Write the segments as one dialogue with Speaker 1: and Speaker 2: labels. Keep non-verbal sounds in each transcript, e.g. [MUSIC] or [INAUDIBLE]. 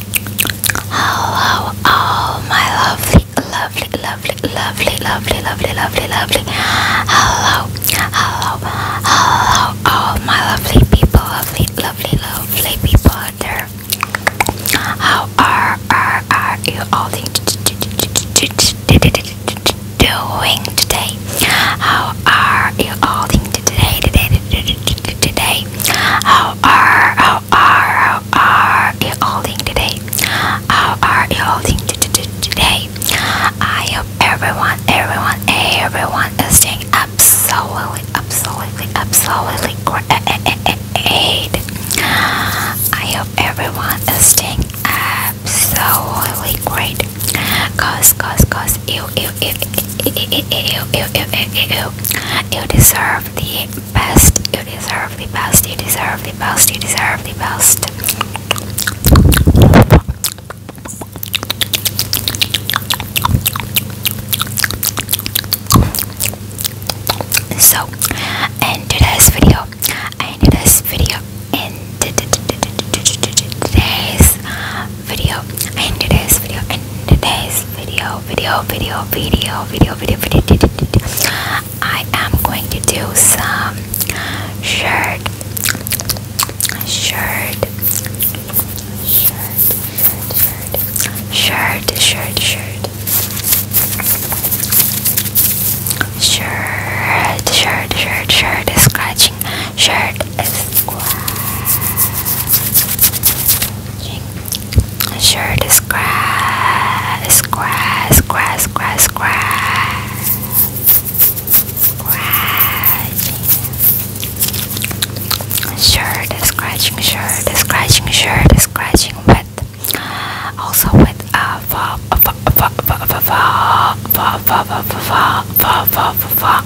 Speaker 1: Oh, oh, oh, my lovely, lovely, lovely, lovely, lovely, lovely, lovely, lovely. Hello, hello, hello, oh, my lovely people, lovely, lovely, lovely people out there. How are, are, are you all doing today? How are you all doing today, today, today, How are, how are, how are you holding today? How are you holding today? I hope everyone, everyone, everyone is doing absolutely, absolutely, absolutely great. I hope everyone is doing absolutely great. Cause, cause, cause, you, you you deserve the best, you deserve the best, you deserve the best, you deserve the best. So, in today's video, in today's video, in today's video and today's video and today's video video video video video video video, video, video. I am going to do some shirt shirt shirt shirt shirt shirt shirt shirt shirt shirt, shirt, shirt scratching shirt Scratching. Shirt is scratch, scratch, scratch, scratch, scratch. Scratching. Shirt is scratching, shirt is scratching, shirt is scratching with also with a fa fa fa fa fa fa fa fa fa fa fa fa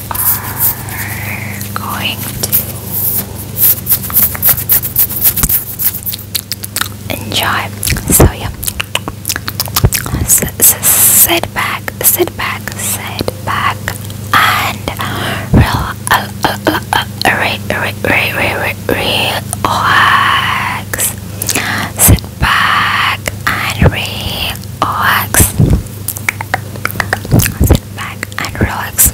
Speaker 1: are going to enjoy. So yeah, sit back, sit back, sit back, and relax. Sit back and relax. Sit back and relax.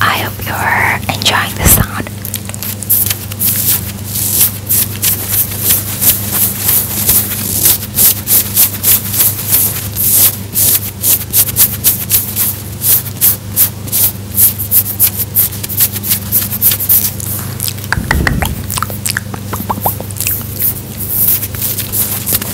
Speaker 1: I hope you're enjoying the sound.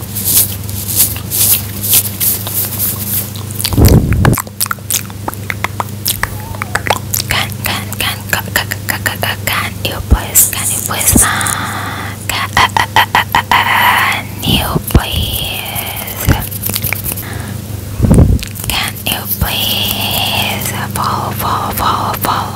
Speaker 1: Can, can, can, can, can, can, can, can, you please, can you please, can, uh, uh, uh, can you please, can you please, follow, follow, follow, follow,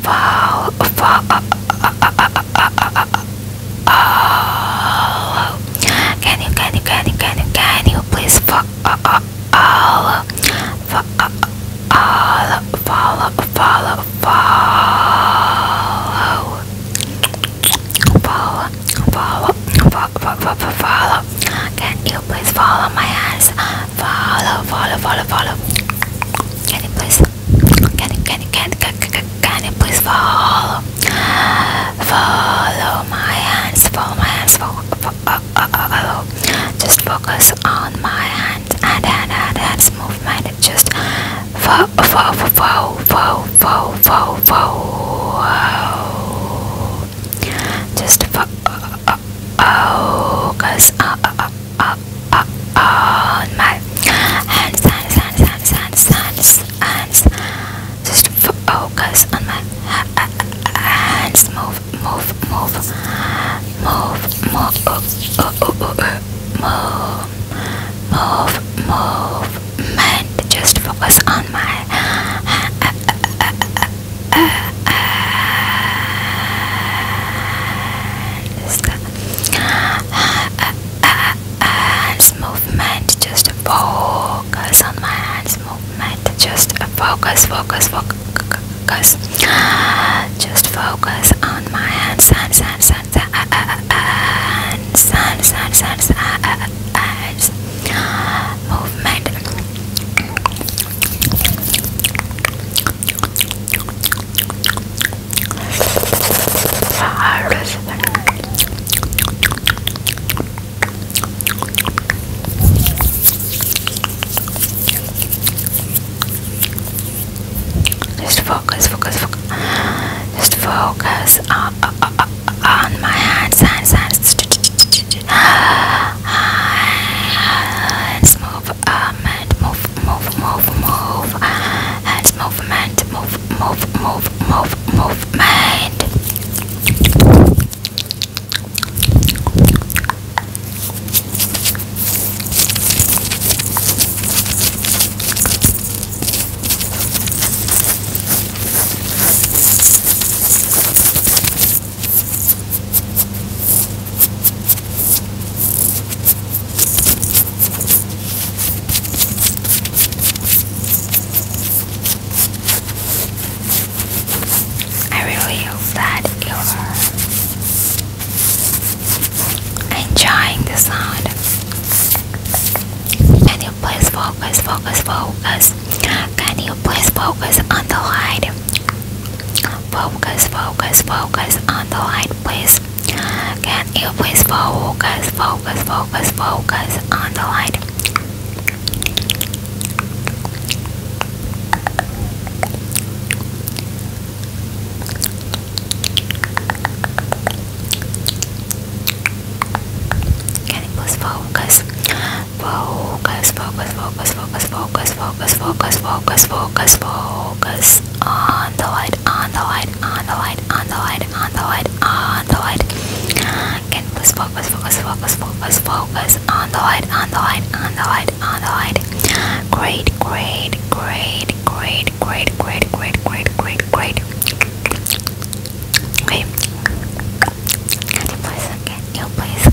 Speaker 1: follow, follow, can you, can you, can you, can you, can you please follow, follow, follow, follow, follow, follow, follow, follow, follow, can you please follow my hands, follow, follow, follow, follow, can you please can you, can you, can can, can, can you please follow? Follow my hands, follow my hands, follow, uh, uh, uh, Just focus on my hands and hand and hands movement. Just follow, follow, follow, follow, follow, follow, follow. Just focus on my hands, hands, hands, hands, hands, hands, hands. Just focus on my hands. Move, move, move, move, move, move, move, movement. Just focus on my artist uh, uh, hands movement just focus on my hands movement just focus focus focus just focus on my hands hands hands hands hands hands hands hands hands movement just focus, focus, focus. Just focus on, uh, uh, uh, on my hands, hands, hands. [SIGHS] Hands move movement, move, move, move, move, hands movement, move, move, move, move, movement. I really hope that you are enjoying the sound Can you please focus, focus, focus? Can you please focus on the light? Focus, focus, focus on the light, please. Can you please focus, focus, focus, focus on the light? Can you please focus? Focus, focus, focus, focus, focus, focus focus, focus, focus, focus, focus on the light, on the light, on the light, on the light, on the light, on the light. Can you please focus, focus, focus, focus, focus on the light, on the light, on the light, on the light. Great, great, great, great, great, great, great, great, great, great. Okay. Can you please, can you please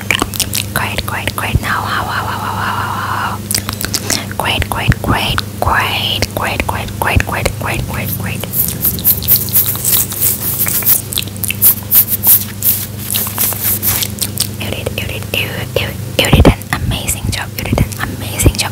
Speaker 1: Great, great, great. Now, how, how, how, how, how, how. Great, great, great, great, great, great, great, great, great, great, great. You did, you did, you, you, you did an amazing job. You did an amazing job.